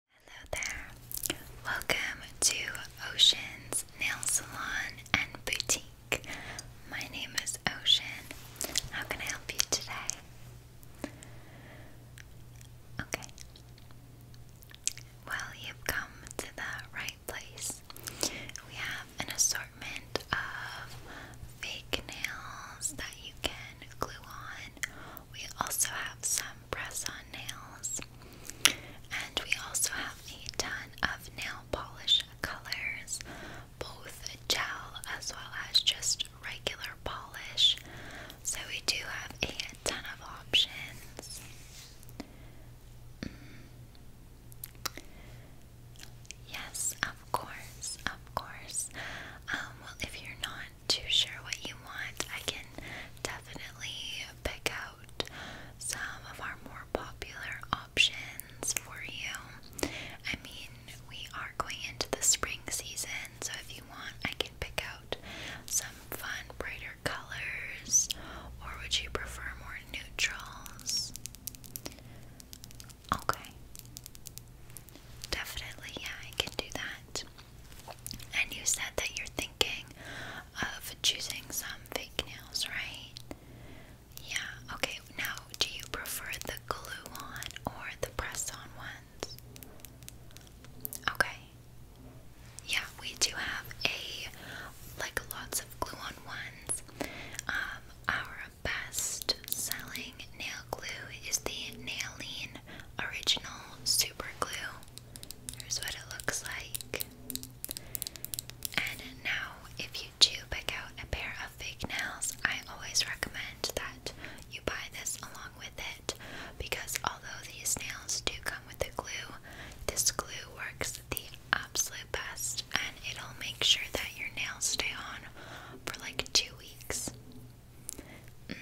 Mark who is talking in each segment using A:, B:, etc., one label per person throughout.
A: Hello there. Welcome to Ocean's Nail Salon and Boutique. My name is Ocean. How can I help you today? Okay. Well, you've come to the right place. We have an assortment of fake nails that you can glue on. We also have some press-on nails. And we also have a ton of nail polish colors, both gel as well as just regular polish. So we do have a ton of options. Mm. Yes, of course, of course. Um, well, if you're not not too sure what you want, I can definitely pick out some of our more popular options for you. I mean, we are going into the spring season, so if you want, I can pick out some fun, brighter colors, or would you prefer more neutrals? Okay. Definitely, yeah, I can do that. And you said that you're thinking of choosing some fake nails, right? Yeah, okay. Now, do you prefer the glue on or the press on ones? Okay. Yeah, we do have a like lots of glue on ones. Um, our best selling nail glue is the Nailene Original Super Glue. Here's what it looks like. And now, if you do pick out a pair of fake nails, I always recommend that you buy this along with it because although these nails do come with the glue, this glue works the absolute best and it'll make sure that your nails stay on for like two weeks. Mm,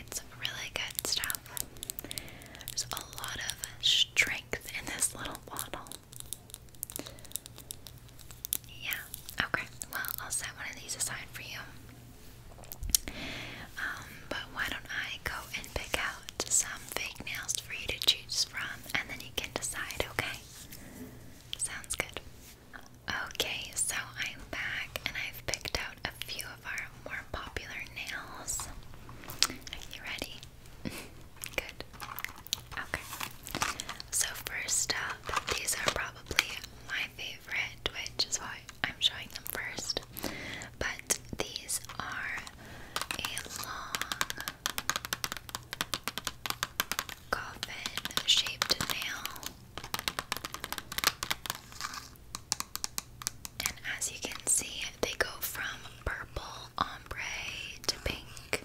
A: it's really good stuff. There's a lot of strength in this little bottle. Yeah, okay. Well, I'll set one of these aside for you. Um, but why don't I go and pick out some fake nails for you to choose from and then you can decide, okay? Sounds good. Okay, so I'm back and I've picked out a few of our more popular nails. you ready? Good. Okay. So, first up, these are probably my favorite, which is why I'm showing them first. But these are a long coffin shaped nail. And as you can see, they go from purple ombre to pink.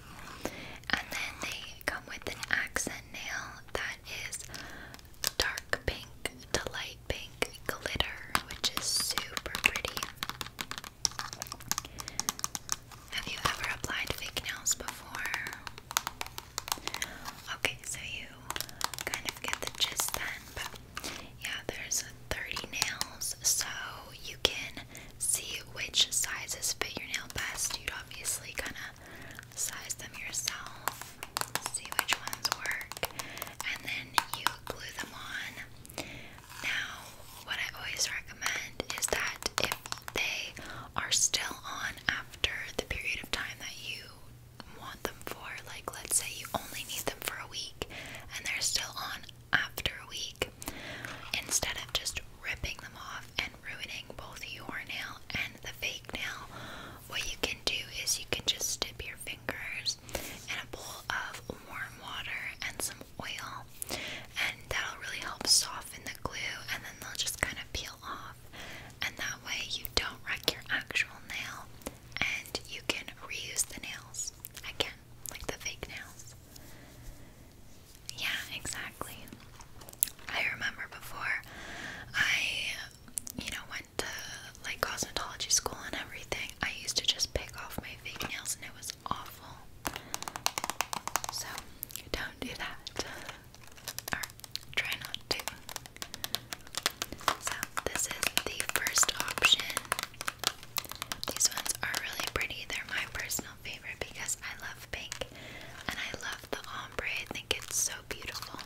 A: And then they come with an accent nail that is dark pink to light pink glitter, which is super pretty. Have you ever applied fake nails before? Okay, so you kind of get the gist then, but yeah, there's 30 nails, so you can see which sizes fit your nail best. You'd obviously kind of size them yourself, see which ones work, and then you glue them on. Now, what I always recommend is that if they are still on after the period of time that you want them for. Like, let's say you only need them for a week and they're still on after a week. Instead of just ripping them off and ruining both your nail and the fake nail, what you can do is you can just dip your fingers in a bowl of warm water and some oil, and that'll really help soften the glue, and then they'll just kind of peel off and that way you don't wreck your actual nail and you can reuse the nails again, like the fake nails. Yeah, exactly. I remember before I, you know, went to like cosmetology school and everything, I used to just pick off my fake nails and it was awful. So, don't do that. Try not to. So, this is the first option. These ones are really pretty. They're my personal favorite because I love pink and I love the ombre. I think it's so beautiful.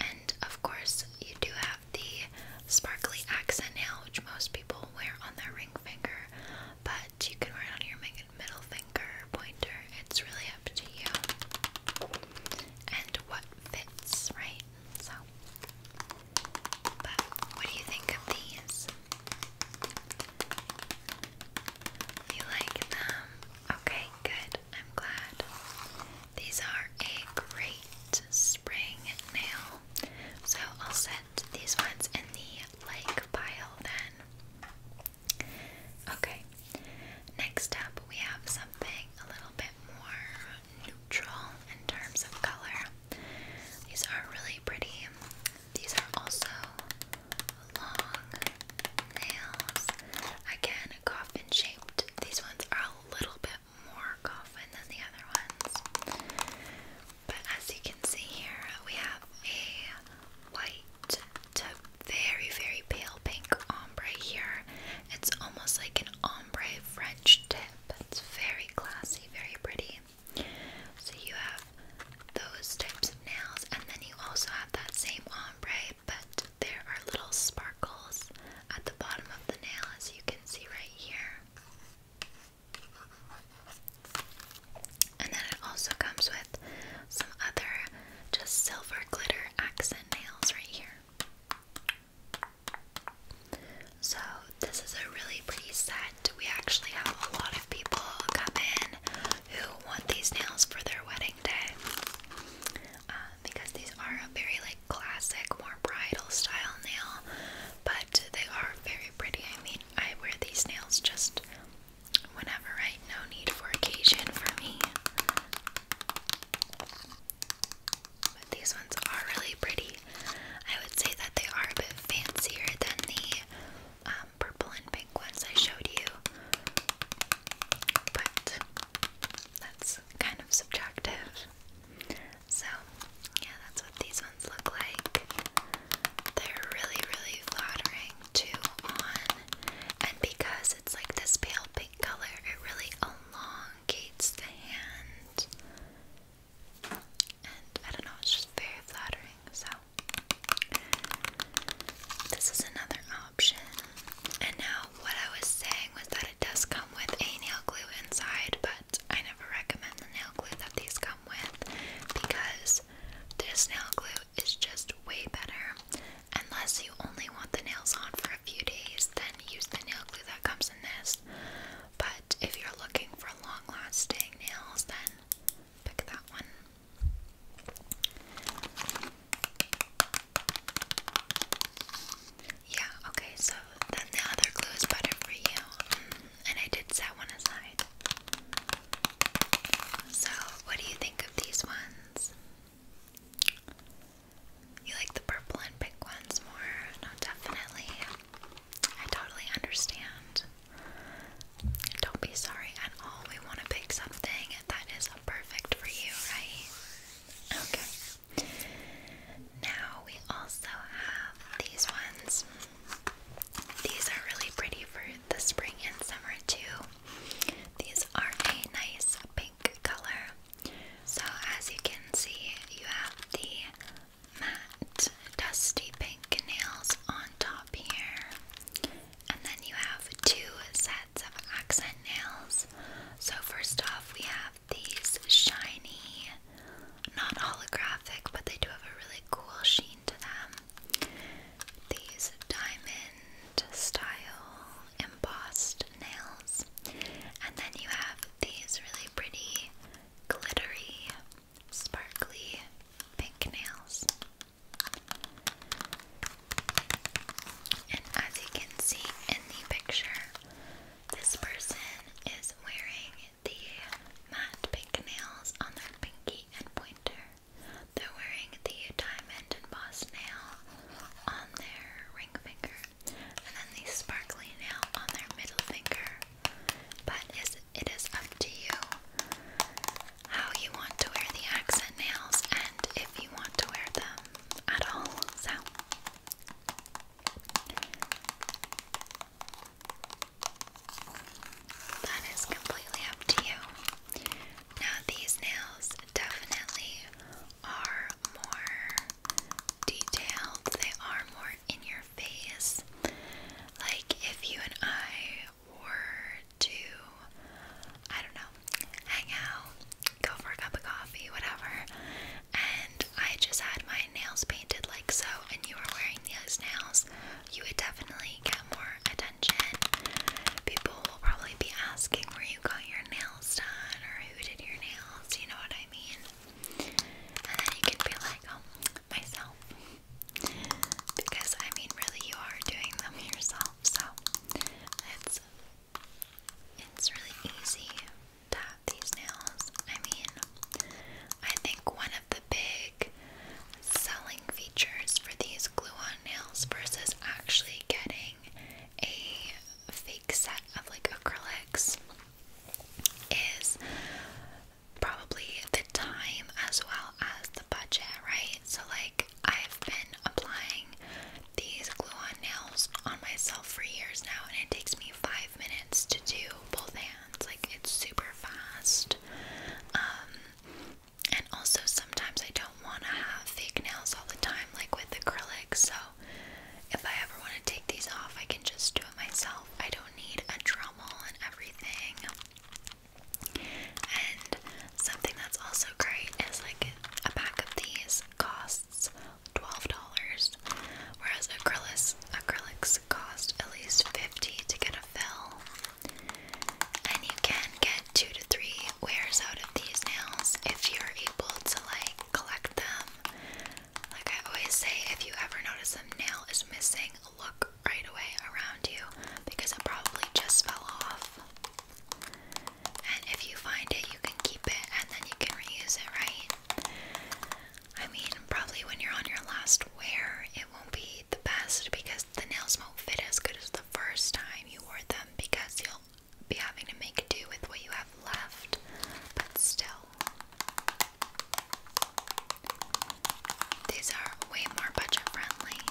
A: And of course, you do have the sparkly accent nail, which most people wear on their ring finger, but you can wear it on your middle finger, pointer, it's really up to you and what fits, right? So, but what do you think of these? You like them? Okay, good. I'm glad. These are a great spring nail. So I'll set these ones in the like pile then. Okay, next up we have something a little bit more neutral in terms of color. These are really pretty. These are also long nails. Again, coffin shaped. These ones are a little bit more coffin than the other ones. But as you can see here, we have a white to very, very pale pink ombre here. It's almost like an ombre French tip. It's very classy, very pretty. So you have those types of nails, and then you also have that same ombre, but there are little sparkles at the bottom of the nail, as you can see right here. And then it also comes with some other just silver glitter accent nails right here. So, this is a really pretty set. We actually have a lot of people come in who want these nails for their wedding day uh, because these are a very like classic, more bridal style nail, but they are very pretty. I mean, I wear these nails just whenever, right? No need for occasion for me. But these ones are really pretty. I would say that they are a bit fancier than the um, purple and pink ones I showed you. But that's kind of subjective. So, yeah, that's what these ones look like. They're really, really flattering too on and because it's like this pale pink color, it really elongates the hand. And I don't know, it's just very flattering. So, this is another option. And now, what I was saying was that it does come with a nail glue inside, but I never recommend the nail glue that these come with because this nail glue it's just way better. Unless you only want the nails on for a few days, then use the nail glue that comes in this. But if you're looking for long lasting nails, then pick that one. Yeah, okay, so then the other glue is better for you. Mm, and I did set one aside. So, what do you think of these ones? You like the purple and pink ones more? No, definitely. I totally understand. Don't be sorry at all. We want to pick something that is perfect for you, right? Okay. Now we also have these ones. These are really pretty for the spring and summer, too. These are a nice pink color. So, as you can see, you have the matte dusty pink nails on top here, and then you have two sets of accent nails. So, first off, we have these shiny, not holographic, but they do have a really cool sheen to them these diamond style embossed nails, and then you have these really pretty, glittery, sparkly pink nails. And as you can see in the picture, this person is wearing the matte pink nails on their pinky and pointer. They're wearing the diamond embossed nail on their ring finger, and then the sparkly nail on their middle finger. But it is up to you how you want to wear the accent nails and if you want to wear them at all. So, that is completely up to you. Now, these nails definitely are more detailed, they are more in your face. Like if you and I were to, I don't know, hang out, go for a cup of coffee, whatever, and I just had my nails painted like so, and you were wearing those nails, you would definitely get more attention. People will probably be asking where you got your nails done or who did your nails, you know what I mean? And then you can be like, oh, myself. Because, I mean, really, you are doing them yourself, so it's, it's really easy to have these nails. I mean, I think one of the big selling features for these glue-on nails versus actually getting a fake set of like acrylics is probably the time as well as the budget, right? So like I've been applying these glue-on nails on myself for years now and it takes me five minutes to do both hands. Like it's super fast. Um, and also, sometimes I don't want to have fake nails all the time, like with acrylics. So, if I ever want to take these off, I can just do it myself. I don't need a Dremel and everything. And something that's also great is like a pack of these costs $12, whereas acrylics, acrylics cost at least 50 to get a fill. And you can get two to three wears out of these nails if you're able to like collect them. Like I always say, if you ever notice a nail is missing, look right away around you because it probably just fell off. And if you find it, you can keep it and then you can reuse it, right? I mean, probably when you're on your last wear, it won't be the best because the nails won't fit as good as the first time you wore them because you'll be having to make do with what you have left, but still. These are way more budget friendly.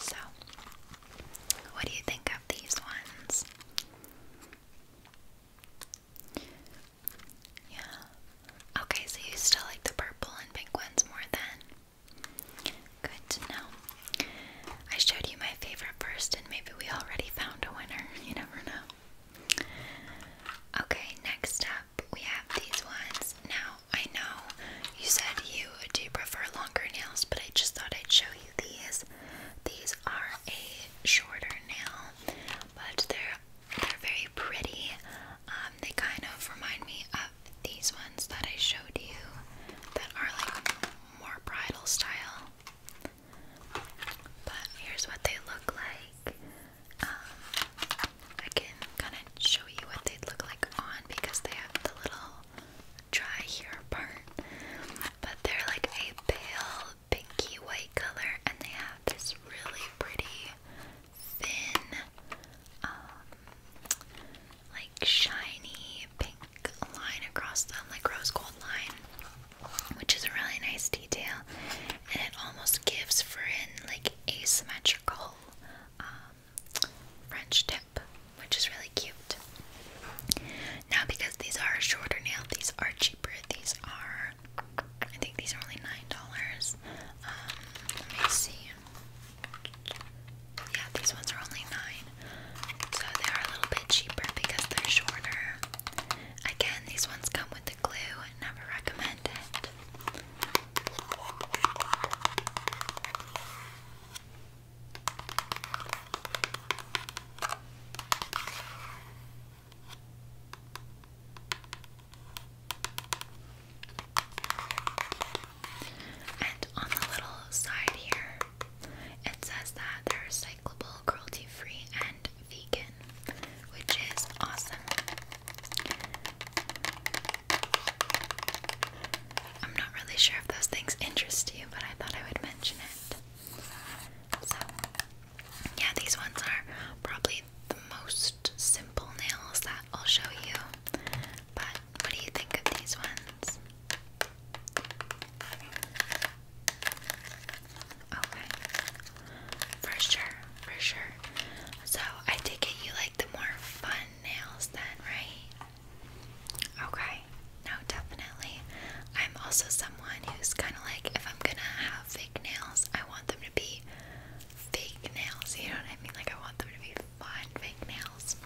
A: So, what do you think of these ones? Yeah. Okay, so you still like the purple and pink ones more than? Good to know. I showed you my favorite first, and maybe we already found a winner. You never know. Okay, next up we have these ones. Now, I know you said you do prefer longer nails, but I just thought I'd show you these. These are a shorter nail, but they're they're very pretty. Um, they kind of remind me of these ones that I showed you that are like more bridal style. But here's what they look like. Um, I can kind of show you what they look like on because they have the little dry here part. But they're like a pale pinky white color, and they have this really pretty thin, um, shiny pink line across them, like rose gold line, which is a really nice detail, and it almost gives for Frin like asymmetrical um, French tip, which is really cute. Now, because these are shorter nails, these are cheaper. These are, I think, these are only nine dollars. Um, let me see. Yeah, these ones are only nine, so they are a little bit cheaper because they're shorter. Again, these ones come with the glue. Never recommend it. And on the little side here, it says that they're recyclable, cruelty free, and vegan, which is awesome. I'm not really sure if those things interest you, but I thought I would mention it. So, yeah, these ones are probably the most simple nails that I'll show you, but what do you think of these ones? Okay. For sure, for sure. So I take it you like the more fun nails then, right? Okay. No, definitely. I'm also someone who's kind of like, if I'm gonna have fake nails, I want them to be fake nails. You know what I mean? Like, I want them to be fun fake nails.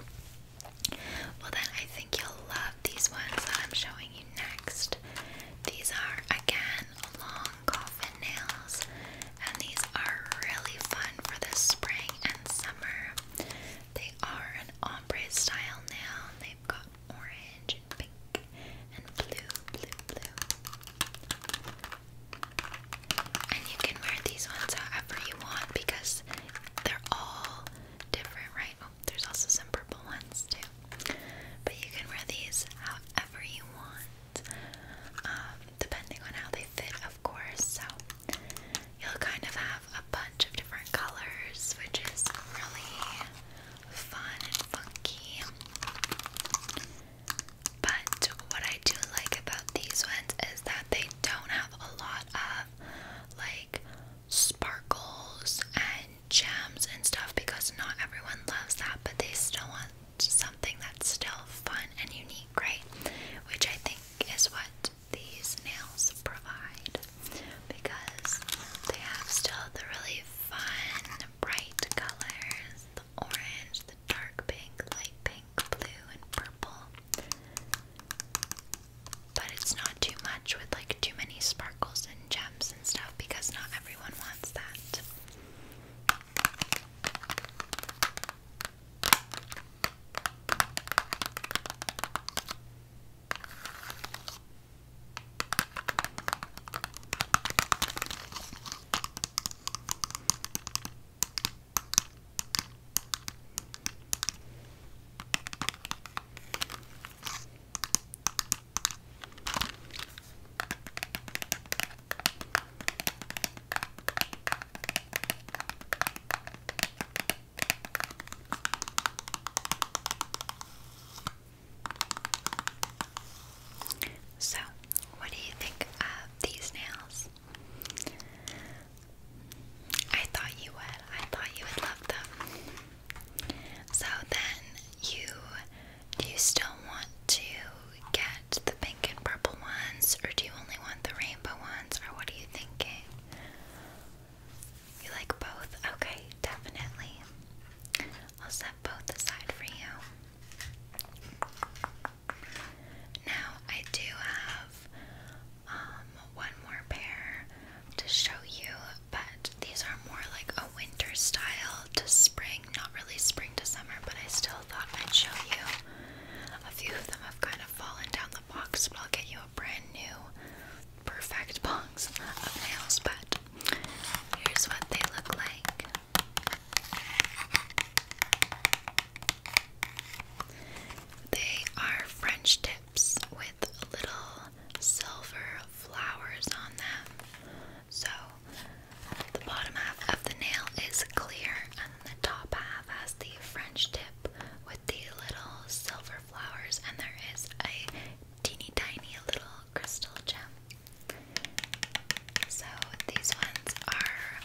A: Well, then I think you'll love these ones that I'm showing you next. These are again long coffin nails, and these are really fun for the spring and summer. They are an ombre style nail, they've got orange and pink and blue, blue, blue. And you can wear these ones however you want because they're all different, right? Oh, there's also some purple ones too. But you can wear these however you want, um, depending on how they fit, of course. So you'll kind of have a bunch of different colors, which is really fun and funky. But what I do like about these ones is that they don't have a lot of like sparkles and gems and stuff because not everyone loves that, but they still want something that's still fun and unique, right? Which I think is what these nails provide because they have still the really fun, bright colors the orange, the dark pink, light pink, blue, and purple. But it's not too much with like too many sparkles and gems and stuff because not everyone wants that. So, what do you think of these nails? I thought you would. I thought you would love them. So then you do you still want to get the pink and purple ones or do you only want the rainbow ones or what are you thinking? You like both? Okay, definitely. I'll set both aside for you. Now I do have um, one more pair to show you, but these are more like a winter style to spring, not really spring to summer, but I still thought I'd show you. A few of them have kind of fallen down the box, but I'll get you a brand new, perfect box of nails, but here's what they look like. They are French tips with little silver flowers on them. So the bottom half of the nail is clear and the top half has the French tip with the little silver flowers and there is a teeny tiny little crystal gem. So these ones are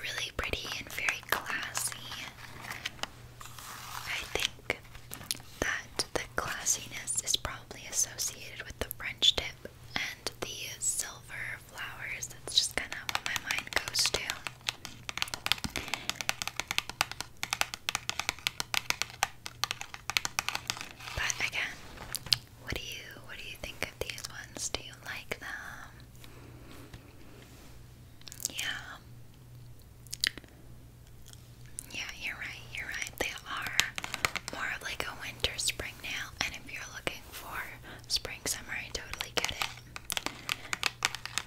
A: really pretty and very classy. I think that the classiness is probably associated with the French tip and the silver flowers. That's just kind of what my mind goes to. But again, what do you what do you think of these ones? Do you like them? Yeah. Yeah, you're right, you're right. They are more of like a winter spring nail, and if you're looking for spring summer, I totally get it.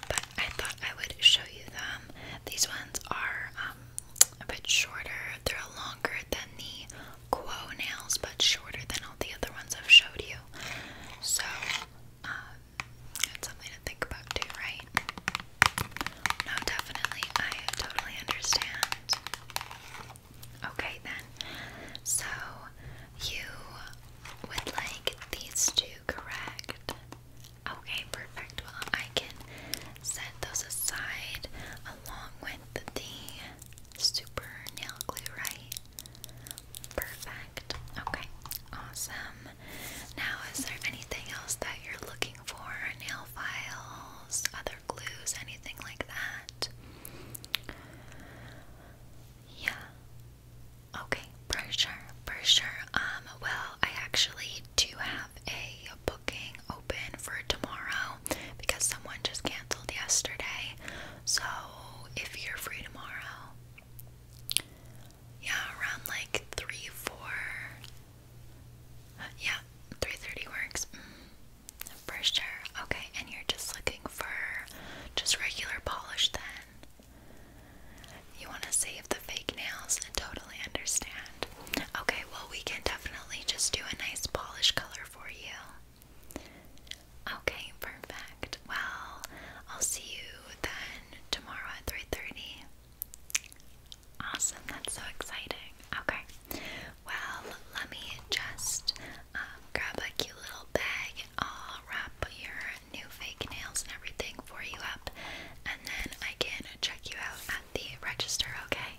A: But I thought I would show you them. These ones are um, a bit shorter, they're longer than the quo nails, but shorter than all the other ones I've showed you. So, uh, that's something to think about too, right? No, definitely. I totally understand. Okay, then. So, you would like these two, correct? Okay, perfect. Well, I can set those aside along with the super nail glue, right? Perfect. Okay. Awesome. Now, is there anything else that you're looking for? Nail files, other glues, anything like that? Yeah. Okay, for sure, for sure. Um, well, I actually do have a booking open for tomorrow because someone just canceled yesterday. So, if you're free tomorrow, yeah, around like three, four. Uh, yeah, three thirty works. Mm, for Okay, and you're just looking for just regular polish then. You want to save the fake nails and totally understand. Okay, well, we can definitely just do a nice polish color for you. Okay, perfect. Well, I'll see you then tomorrow at 3:30. Awesome, that's so exciting. Okay. Well, let me just um, grab a cute little bag I'll wrap your new fake nails and everything for you up and then I can check you out at the register, okay?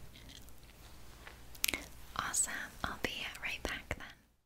A: Awesome. I'll be right back then.